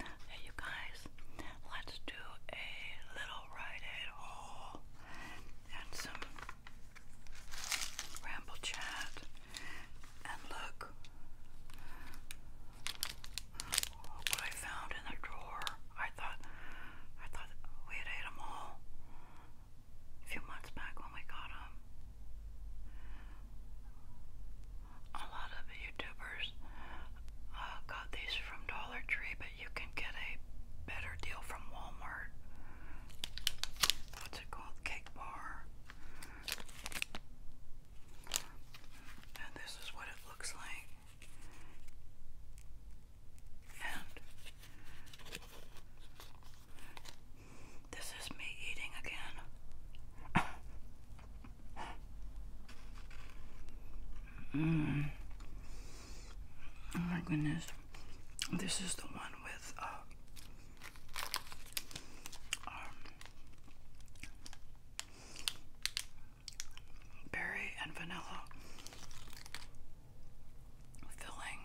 Hey, you guys, let's do a little Rite Aid haul and some ramble chat. And look what I found in the drawer. I thought, I thought we had ate them all a few months back when we got them. A lot of YouTubers uh, got these from Dollar Tree, but you can get a better deal from Walmart. What's it called? Cake bar. And this is what it looks like. And this is me eating again. Mm. Oh my goodness. This is the one with uh, um, berry and vanilla filling.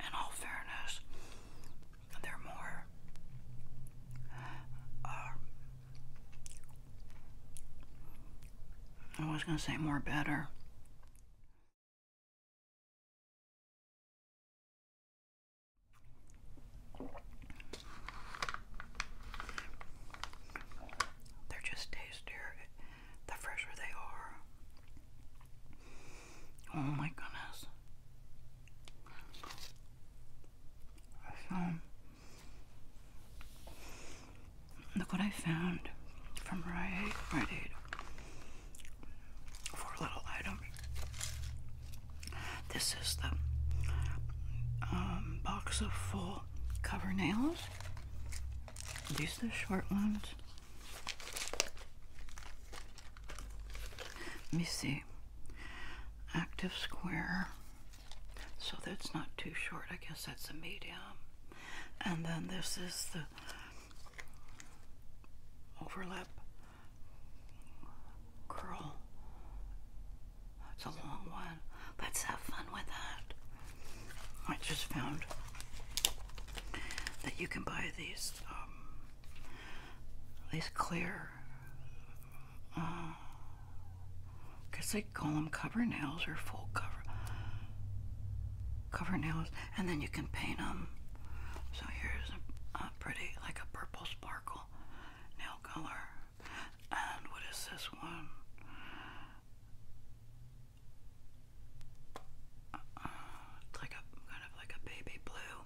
In all fairness, they're more uh, I was going to say more better. They're just tastier the fresher they are. Oh my goodness. So, look what I found from Rite Aid, Rite Aid little item. This is the um, box of full cover nails. These are the short ones. Let me see. Active square. So that's not too short. I guess that's a medium. And then this is the overlap Girl, that's a long one. Let's have fun with that. I just found that you can buy these um, these clear. Uh, guess they call them cover nails or full cover cover nails, and then you can paint them. So here's a pretty like a purple sparkle nail color. And what is this one? it's uh, like a kind of like a baby blue.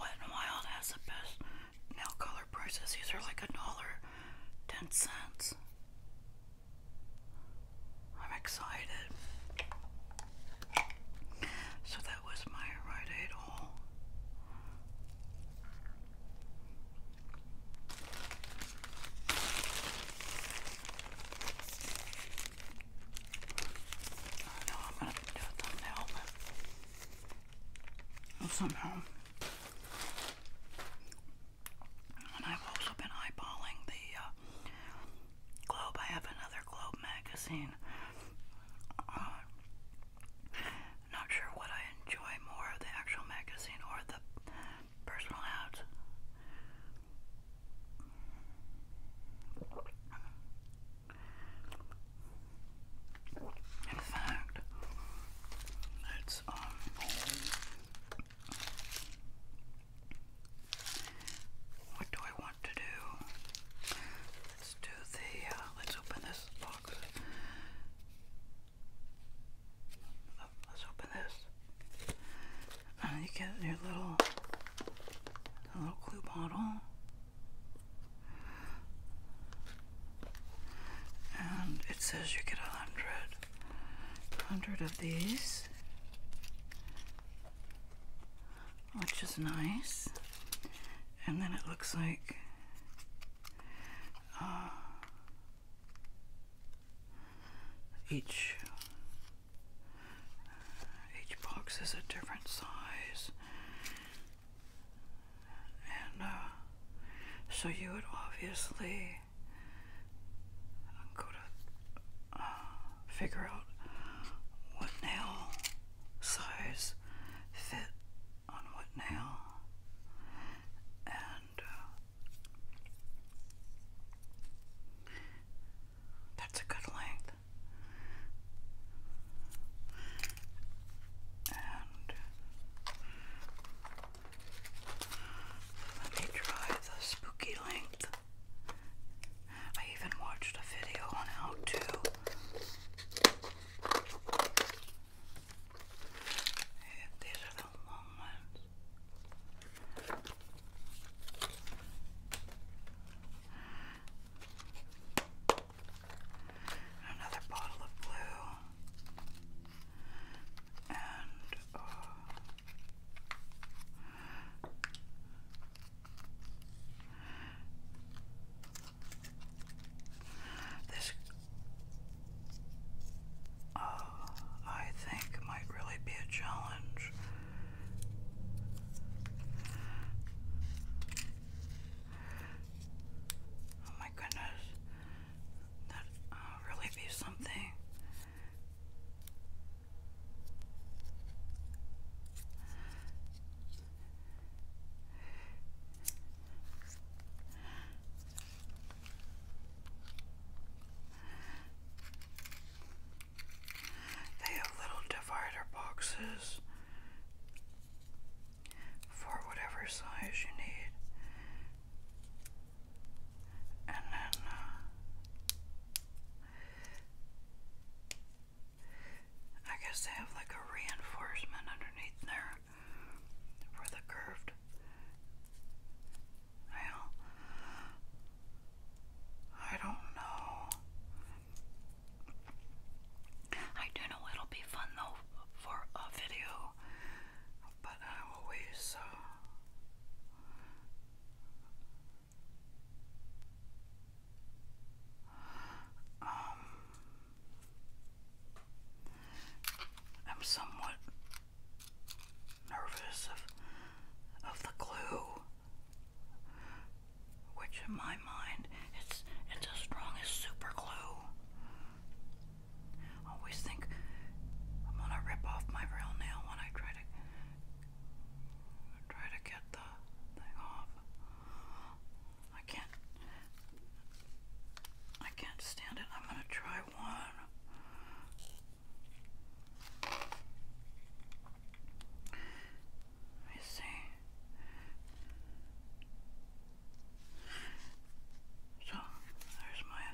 Wet n Wild has the best nail color prices. These are like a dollar ten cents. I'm excited. So that was my Rite all. I know I'm gonna do a thumbnail, but somehow. And I've also been eyeballing the uh, Globe. I have another Globe magazine. Uh, not sure what I enjoy more the actual magazine or the personal ads. In fact, it's um what do I want to do? Let's do the, uh, let's open this box. let's open this. Uh, you get your little, little glue bottle. And it says you get a hundred, hundred of these which is nice. And then it looks like uh, each each box is a different size, and uh, so you would obviously go to uh, figure out what nail size fit on what nail and uh, that's a good length and let me try the spooky length I even watched a video on how to and these Another bottle of blue. Uh, this, uh, I think, might really be a challenge. Oh my goodness, that uh, really be something. They have little divider boxes for whatever size you need. And then uh, I guess they have like a reinforcement underneath there for the curved I don't know. I do know it'll be fun though for a video, but I always. Uh, um, I'm somewhat nervous of of the glue, which in my mind it's it's as strong as super glue. I always think I'm gonna rip off my real nail when I try to try to get the thing off. I can't. I can't stand it. I'm gonna try one. Let me see. So there's my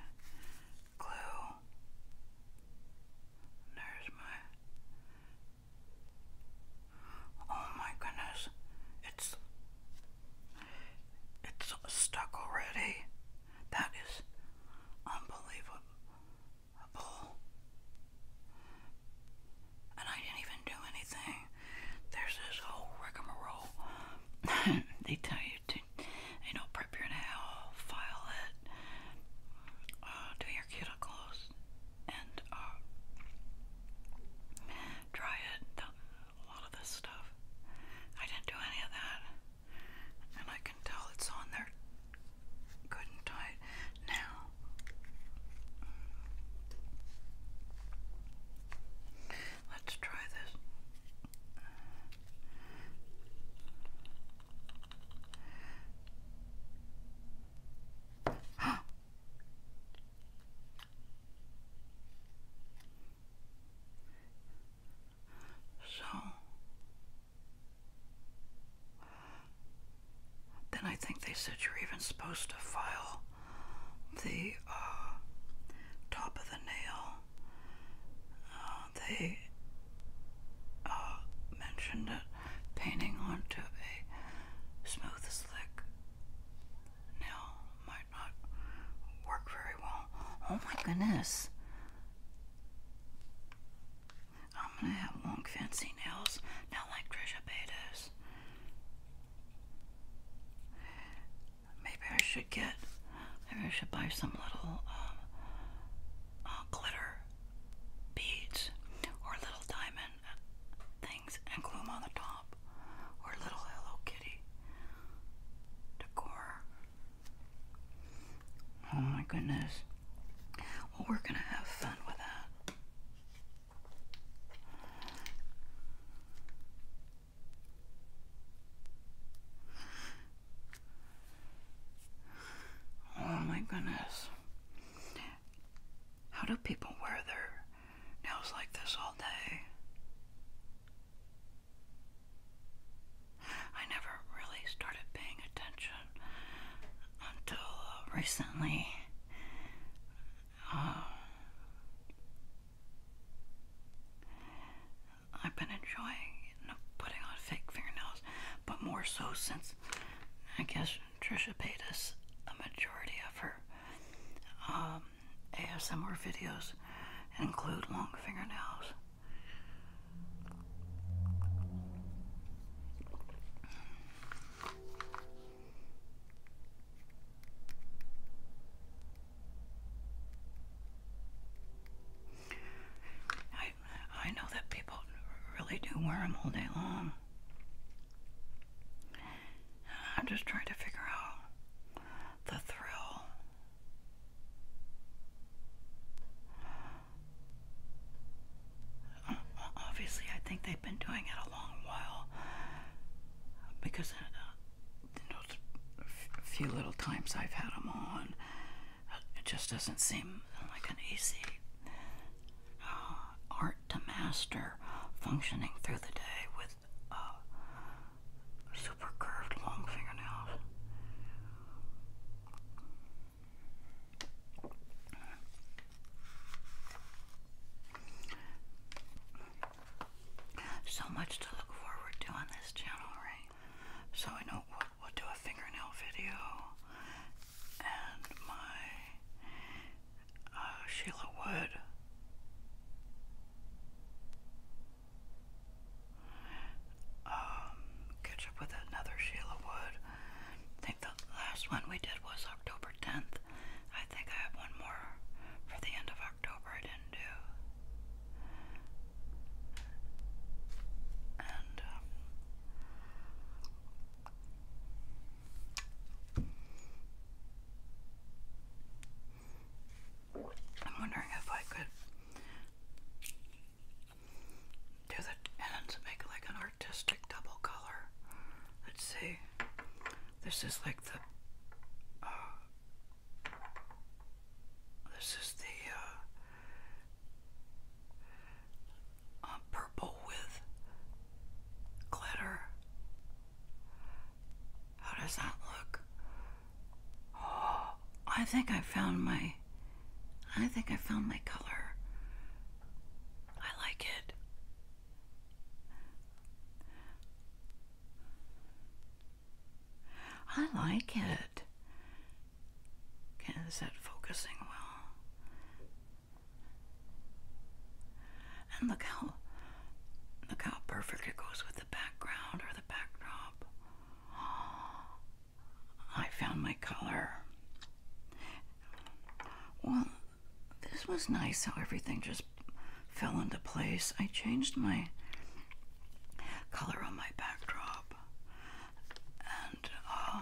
glue. There's my Oh my goodness, it's it's stuck already. That is unbelievable. And I didn't even do anything. There's this whole rigmarole. they tell you to, you know, prep your nail, file it, uh, do your cuticles, and uh, try it, a lot of this stuff. I didn't do any of that, and I can tell it's on there good and tight now. Let's try this. So then I think they said you're even supposed to file the uh, top of the nail. Uh, they uh, mentioned it painting onto a smooth slick now might not work very well. Oh my goodness. I'm gonna have long fancy nails, not like Trisha Paytas. Maybe I should get, maybe I should buy some little uh, uh, glitter beads or little diamond things and gloom on the top, or little Hello Kitty decor. Oh my goodness. Well, we're gonna have fun with that. Oh my goodness. How do people wear their and was like this all day. I never really started paying attention until uh, recently. Um, I've been enjoying putting on fake fingernails, but more so since I guess Trisha Paytas, a majority of her um, ASMR videos include long fingernails. I, I know that people really do wear them all day long. I'm just trying to figure out the thrill. Obviously, I think they've been doing it a long while because uh, a few little times I've had them on, it just doesn't seem like an easy um, art to master, functioning through the day with uh, super curved long fingernails. So much to look forward to on this channel, right? So I know we we'll do a fingernail video and my uh, Sheila Wood. catch um, up with another Sheila Wood. I think the last one we did was October 10th. I think I have one more for the end of October I didn't do. And, um, I'm wondering if I could do the and make like an artistic double color. Let's see. This is like the uh, this is the uh, uh purple with glitter how does that look? I think I found my I think I found my color. I like it. I like it. that focusing well? And look how look how perfect it goes with the background or the backdrop. I found my color. Well, this was nice how everything just fell into place. I changed my color on my backdrop. And uh,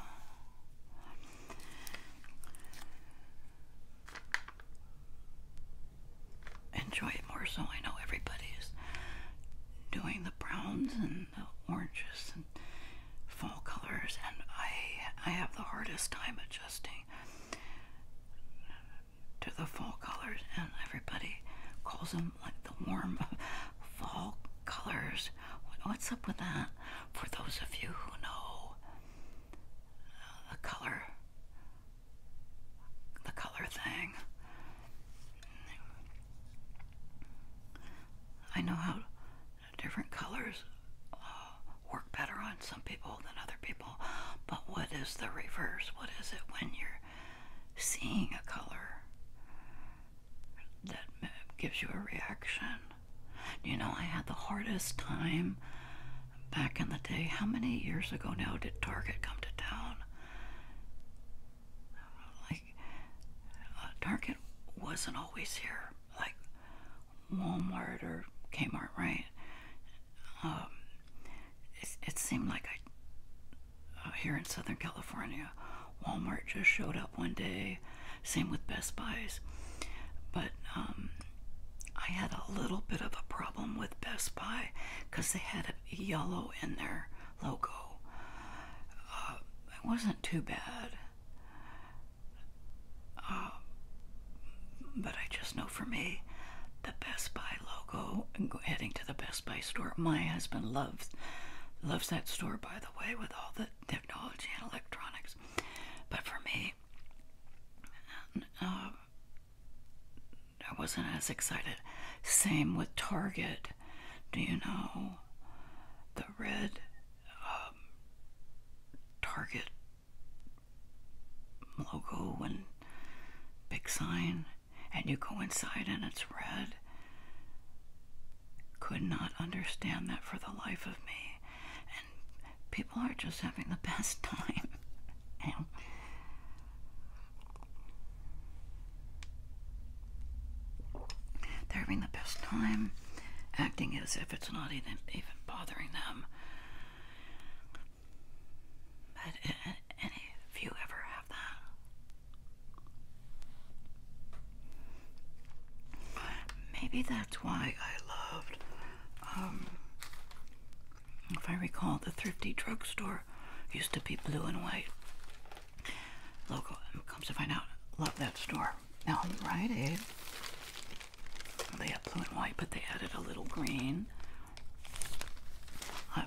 enjoy it more so. I know everybody's doing the browns and the oranges and fall colors, and I I have the hardest time adjusting to the fall colors, and everybody calls them like the warm fall colors. What's up with that? For those of you who know uh, the color the color thing. I know how different colors uh, work better on some people than other people, but what is the reverse? What is it when you're seeing a color that gives you a reaction? You know, I had the hardest time back in the day, how many years ago now did Target come to town? Like, uh, Target wasn't always here, like Walmart or Kmart, right? Um, it, it seemed like I, uh, here in Southern California, Walmart just showed up one day. Same with Best Buys. But um, I had a little bit of a problem with Best Buy because they had a yellow in their logo. Uh, it wasn't too bad. Uh, but I just know for me, the Best Buy logo, and heading to the Best Buy store, my husband loves loves that store by the way with all the technology and electronics but for me uh, I wasn't as excited. Same with Target. Do you know the red um, Target logo and big sign? And you go inside and it's red. Could not understand that for the life of me people are just having the best time. they're having the best time acting as if it's not even, even bothering them. But uh, any you ever have that? Maybe that's why I loved um, if I recall, the thrifty drugstore used to be blue and white. Local um, comes to find out, love that store. Now Rite Aid, they have blue and white, but they added a little green. I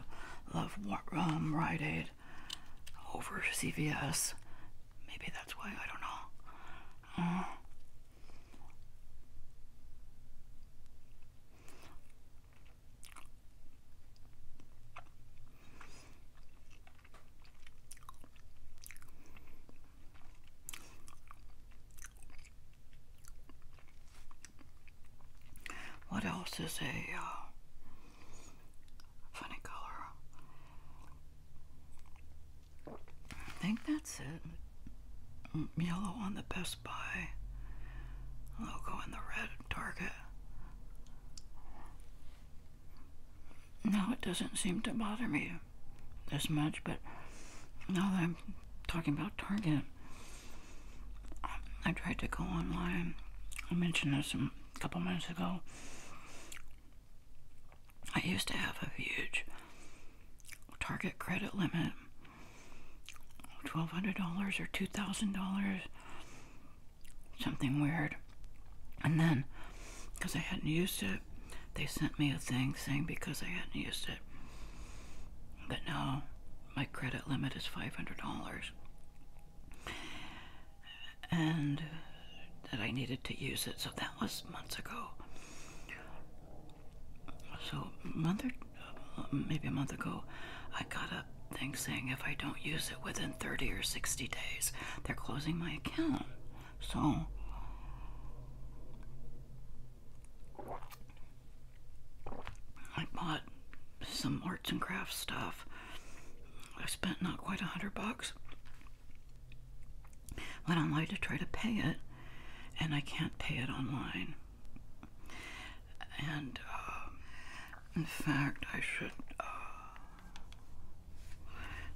love um, Rite Aid over CVS. Maybe that's why I don't know. Uh, what else is a uh, funny color? I think that's it yellow on the Best Buy logo and the red Target. Now it doesn't seem to bother me as much, but now that I'm talking about Target, I tried to go online. I mentioned this a couple minutes ago. I used to have a huge Target credit limit $1,200 or $2,000, something weird. And then, because I hadn't used it, they sent me a thing saying because I hadn't used it, that now my credit limit is $500. And that I needed to use it. So that was months ago. So, month uh, maybe a month ago, I got a thing saying if I don't use it within 30 or 60 days, they're closing my account. So, I bought some arts and crafts stuff. I spent not quite a hundred bucks. Went online to try to pay it, and I can't pay it online. And um, in fact, I should uh,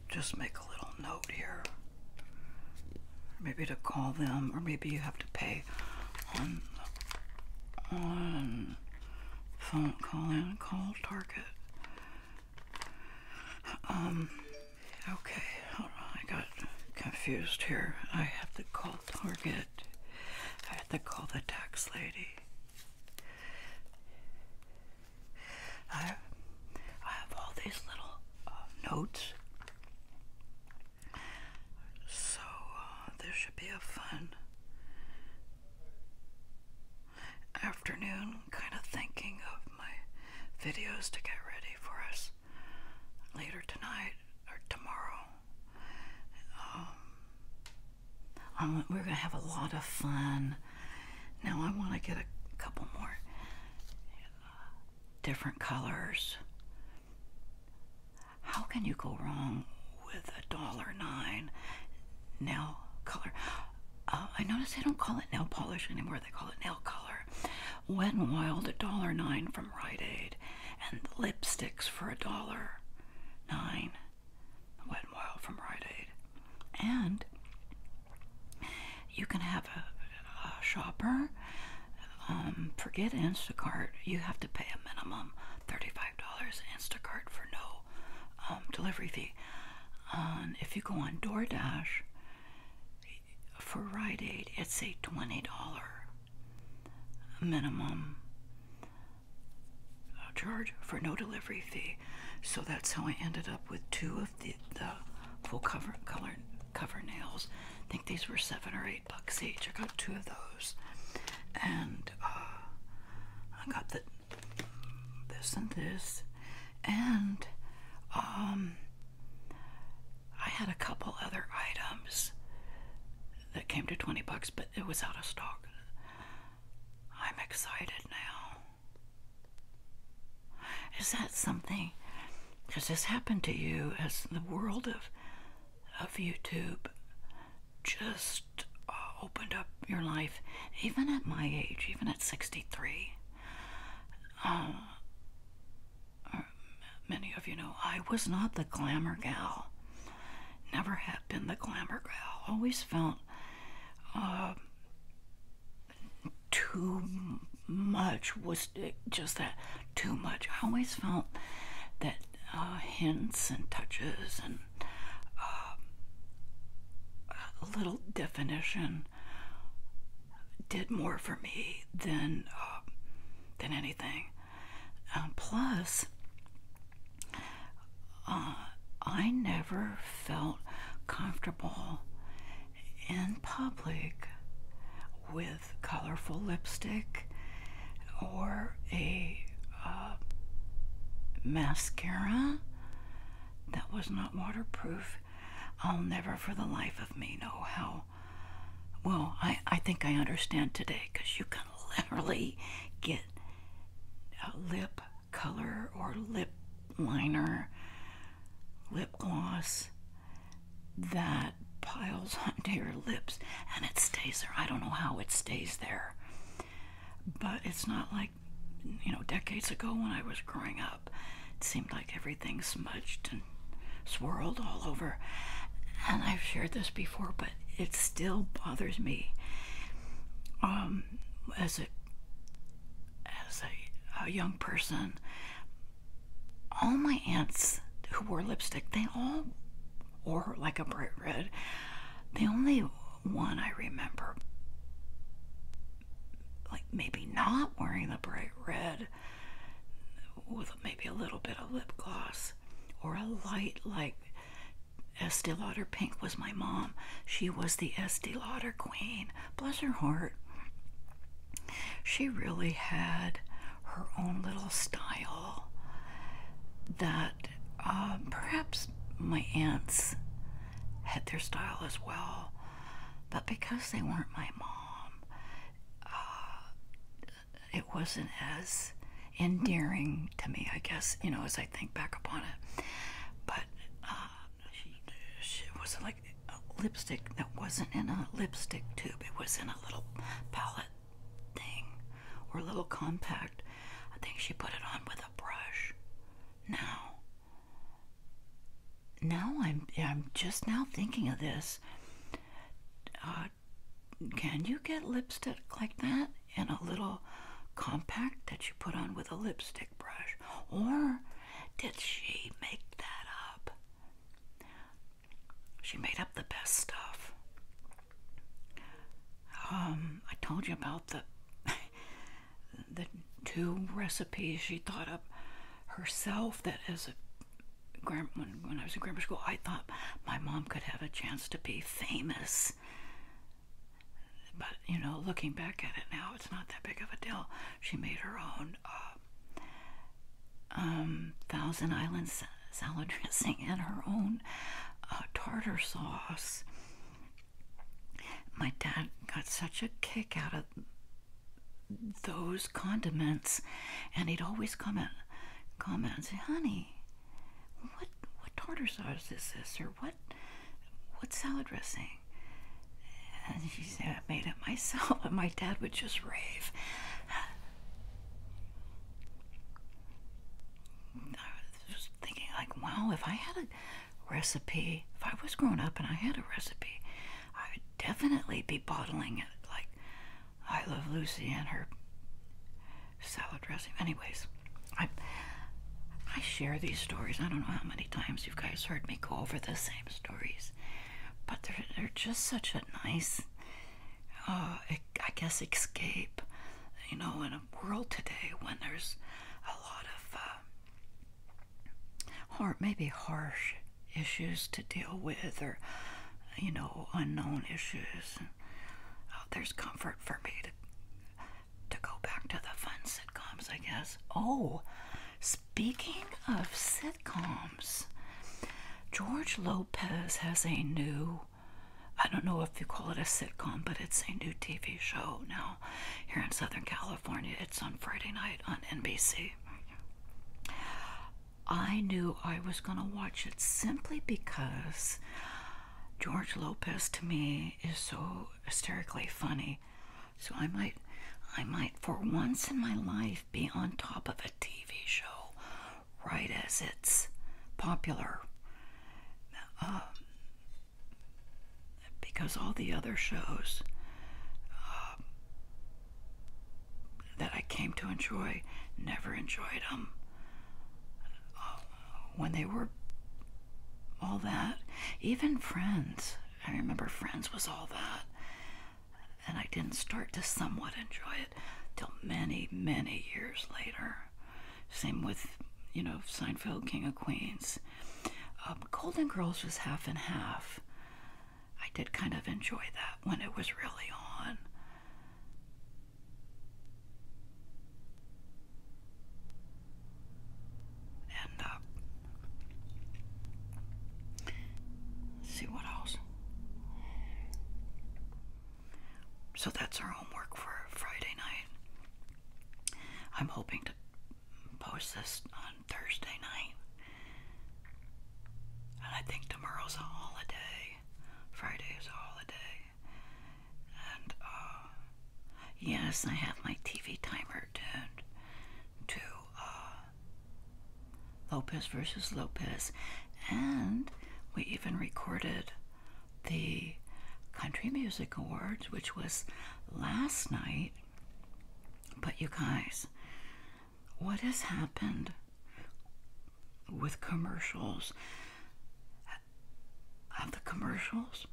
just make a little note here. Maybe to call them, or maybe you have to pay on on phone call and call Target. Um, Okay, hold on, I got confused here. I have to call Target. I have to call the tax lady. I, I have all these little uh, notes. So uh, this should be a fun afternoon, kind of thinking of my videos to get ready for us later tonight or tomorrow. Um, we're going to have a lot of fun. Now I want to get a couple more uh, different colors. How can you go wrong with a dollar nine nail color? Uh, I notice they don't call it nail polish anymore. They call it nail color. Wet and Wild, a dollar nine from Rite Aid and lipsticks for a dollar nine. Wet n Wild from Rite Aid, and you can have a, shopper. Um, forget Instacart. You have to pay a minimum thirty-five dollars Instacart for no um, delivery fee. Um, if you go on DoorDash for Rite Aid, it's a twenty dollar minimum charge for no delivery fee. So that's how I ended up with two of the, the full cover color cover nails. I think these were seven or eight bucks each. I got two of those, and uh, I got the this and this, and um, I had a couple other items that came to 20 bucks, but it was out of stock. I'm excited now. Is that something? Has this happened to you as the world of, of YouTube just uh, opened up your life, even at my age, even at 63? Uh, many of you know, I was not the glamour gal. Never had been the glamour gal. Always felt uh, too much was just that too much. I always felt that uh, hints and touches and a little definition did more for me than than um, plus, uh, I never felt comfortable in public with colorful lipstick or a uh, mascara that was not waterproof. I'll never for the life of me know how well, I, I think I understand today because you can literally get a lip color or lip liner, lip gloss that piles onto your lips and it stays there. I don't know how it stays there, but it's not like you know decades ago when I was growing up. It seemed like every everything smudged and swirled all over. And I've shared this before, but it still bothers me. Um, as a as a young person, all my aunts who wore lipstick, they all wore like a bright red. The only one I remember, like maybe not wearing the bright red, with maybe a little bit of lip gloss or a light like Estee Lauder Pink was my mom. She was the Estee Lauder queen. Bless her heart. She really had her own little style that uh, perhaps my aunts had their style as well, but because they weren't my mom, uh, it wasn't as endearing to me, I guess, you know, as I think back upon it. But uh, she, was like a lipstick that wasn't in a lipstick tube, it was in a little palette thing or a little compact. I think she put it on with a brush. Now, now I'm, I'm just now thinking of this. Uh, can you get lipstick like that in a little compact that you put on with a lipstick brush? Or did she make that up? She made up the best stuff. Um, I told you about the the two recipes she thought up herself that is. a when, when I was in grammar school, I thought my mom could have a chance to be famous. But, you know, looking back at it now, it's not that big of a deal. She made her own uh, um, Thousand Island salad dressing and her own uh, tartar sauce. My dad got such a kick out of those condiments, and he'd always come in Come out and say, honey, what what tartar sauce is this? Or what what salad dressing? And she said, I made it myself. And my dad would just rave. I was thinking, like, wow, if I had a recipe, if I was growing up and I had a recipe, I would definitely be bottling it. Like, I Love Lucy and her salad dressing. Anyways, I I share these stories. I don't know how many times you guys heard me go over the same stories, but they're they're just such a nice, uh, I guess escape. You know, in a world today when there's a lot of, uh, or maybe harsh issues to deal with or you know unknown issues oh, there's comfort for me to to go back to the fun sitcoms i guess oh speaking of sitcoms george lopez has a new i don't know if you call it a sitcom but it's a new tv show now here in southern california it's on friday night on nbc I knew I was going to watch it simply because George Lopez to me is so hysterically funny. So I might I might for once in my life be on top of a TV show right as it's popular. Um, because all the other shows um, that I came to enjoy never enjoyed them um, uh, when they were all that. Even Friends, I remember Friends was all that, and I didn't start to somewhat enjoy it till many, many years later. Same with, you know, Seinfeld, King of Queens. Um, Golden Girls was half and half. I did kind of enjoy that when it was really on. And uh, see what else. So that's our homework for Friday night. I'm hoping to post this on Thursday night. And I think tomorrow's a holiday. Friday is a holiday. And, uh, yes, I have my TV timer tuned to, uh, Lopez versus Lopez. And we even recorded the Country Music Awards, which was last night. But you guys, what has happened with commercials? Have the commercials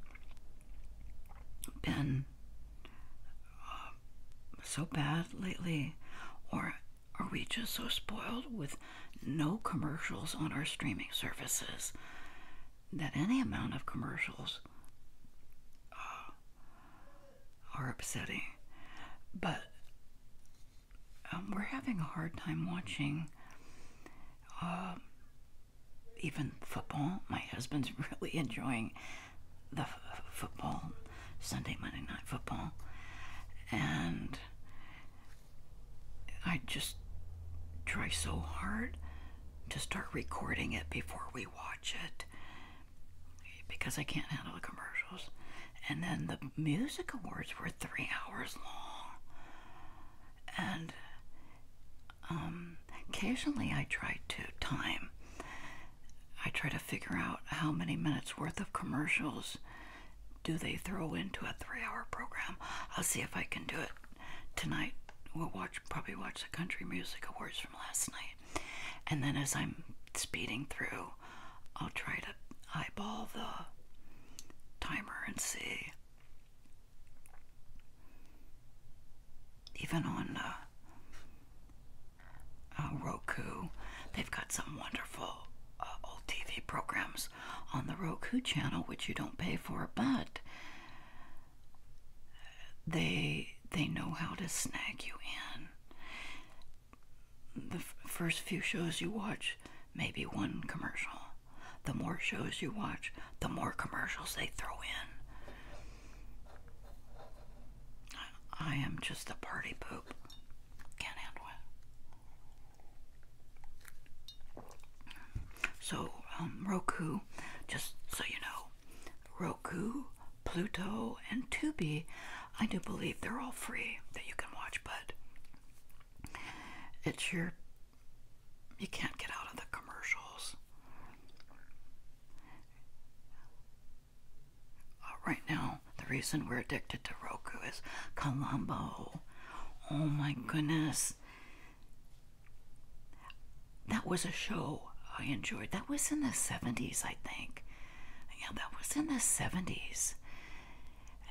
been uh, so bad lately? Or are we just so spoiled with no commercials on our streaming services that any amount of commercials uh, are upsetting? But um, we're having a hard time watching uh, even football. My husband's really enjoying the football, Sunday, Monday night football. And I just try so hard to start recording it before we watch it because I can't handle the commercials. And then the music awards were three hours long. And um, occasionally I try to time. I try to figure out how many minutes worth of commercials do they throw into a three hour program. I'll see if I can do it tonight. We'll watch probably watch the Country Music Awards from last night. And then as I'm speeding through I'll try to eyeball the timer and see. Even on uh, uh, Roku, they've got some wonderful uh, old TV programs on the Roku channel, which you don't pay for, but they they know how to snag you in the first few shows you watch, maybe one commercial. The more shows you watch, the more commercials they throw in. I am just a party poop. Can't handle So, um, Roku, just so you know, Roku, Pluto, and Tubi, I do believe they're all free that you can watch, but it's your you can't get out of the commercials. Uh, right now, the reason we're addicted to Roku is Columbo. Oh my goodness. That was a show I enjoyed. That was in the 70s, I think. Yeah, that was in the 70s.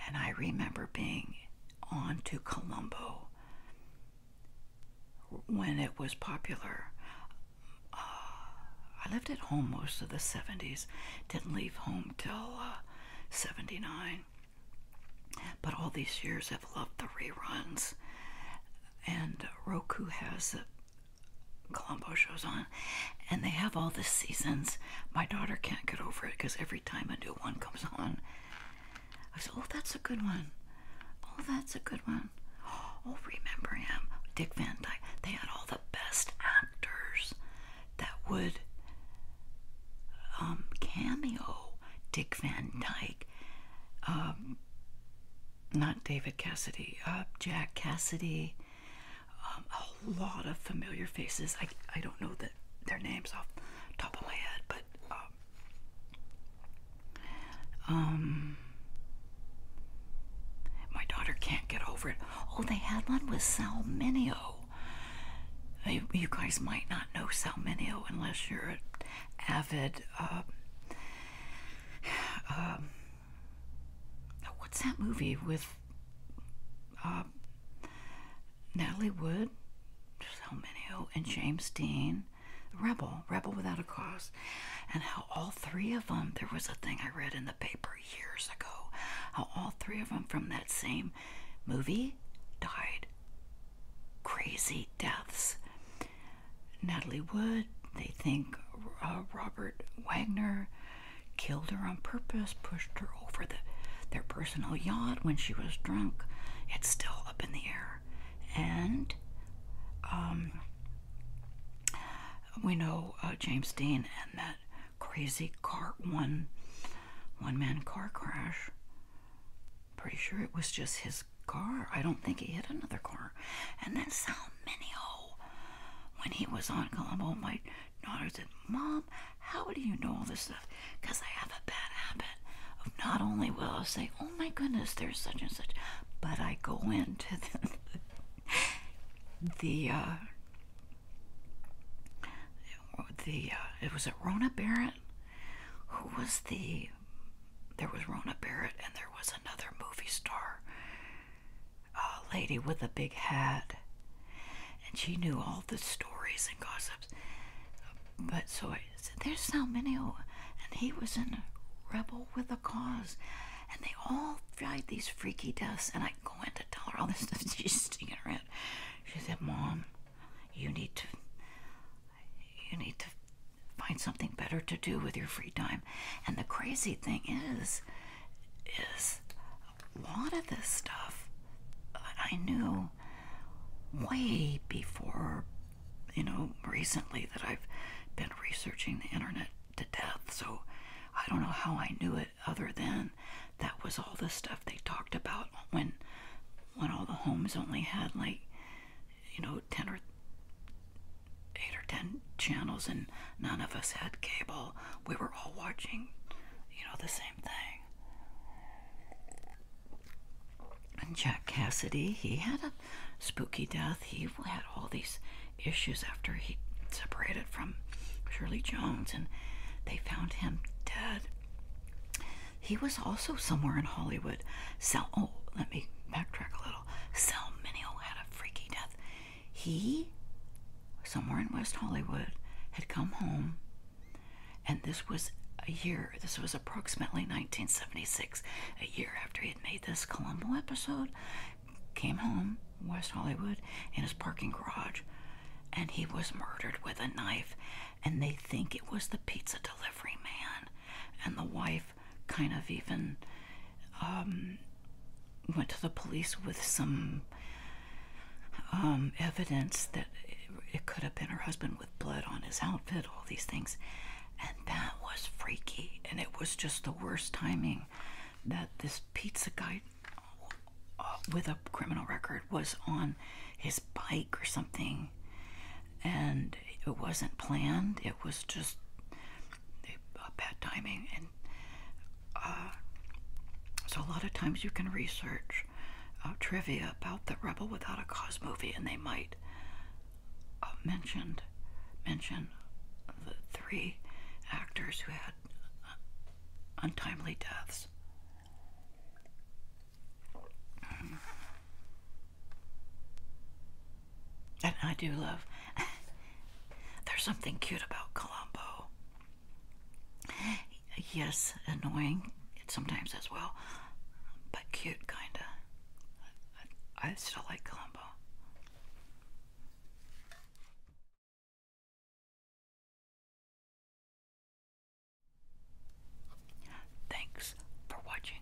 And I remember being on to Colombo when it was popular. Uh, I lived at home most of the 70s, didn't leave home till uh, 79. But all these years I've loved the reruns. And Roku has the Colombo shows on and they have all the seasons. My daughter can't get over it because every time a new one comes on, I say, "Oh, that's a good one. Oh, that's a good one. Oh, remember him, Dick Van Dyke. They had all the best actors that would um, cameo Dick Van Dyke." Um, not David Cassidy, Up, uh, Jack Cassidy, um, a lot of familiar faces. I, I don't know that their names off the top of my head, but um, um, my daughter can't get over it. Oh, they had one with Salminio. you guys might not know Salminio unless you're an avid. Um, um, what's that movie with? Uh, Natalie Wood, so many, oh, and James Dean, Rebel, Rebel Without a Cause, and how all three of them, there was a thing I read in the paper years ago, how all three of them from that same movie died crazy deaths. Natalie Wood, they think uh, Robert Wagner, killed her on purpose, pushed her over the, their personal yacht when she was drunk. It's still up in the air. And um, we know uh, James Dean and that crazy car one one man car crash. Pretty sure it was just his car. I don't think he hit another car. And then how many oh when he was on Colombo, my daughter said, Mom, how do you know all this stuff? Because I have a bad habit of not only will I say, oh my goodness, there's such and such, but I go into the, the uh, uh, it was it Rona Barrett who was the there was Rona Barrett and there was another movie star a lady with a big hat, and she knew all the stories and gossips. But so There's so many. And he was a rebel with a cause. And they all tried these freaky deaths. And I go in to tell her all this stuff. She's sticking around. She said, Mom, you need to you need to find something better to do with your free time. And the crazy thing is, is lot of this stuff I knew way before, you know, recently that I've been researching the internet to death. So I don't know how I knew it other than that was all the stuff they talked about when when all the homes only had like you know 10 or 8 or 10 channels and none of us had cable we were all watching, you know, the same thing. And Jack Cassidy, he had a spooky death. He had all these issues after he separated from Shirley Jones, and they found him dead. He was also somewhere in Hollywood. Sal- oh, let me backtrack a little. Sal Mineo had a freaky death. He, somewhere in West Hollywood, had come home, and this was a year, this was approximately 1976, a year after he had made this Columbo episode, came home, West Hollywood, in his parking garage, and he was murdered with a knife. And they think it was the pizza delivery man. And the wife kind of even um, went to the police with some um, evidence that it could have been her husband with blood on his outfit, all these things. And that was freaky. And it was just the worst timing that this pizza guy uh, with a criminal record was on his bike or something. And it wasn't planned, it was just bad timing. And uh, so a lot of times you can research uh, trivia about the Rebel Without a Cause movie, and they might uh, mention the three actors who had uh, untimely deaths. and I do love. There's something cute about Colombo. Yes, annoying sometimes as well, but cute kinda. I, still like Columbo. Thanks for watching.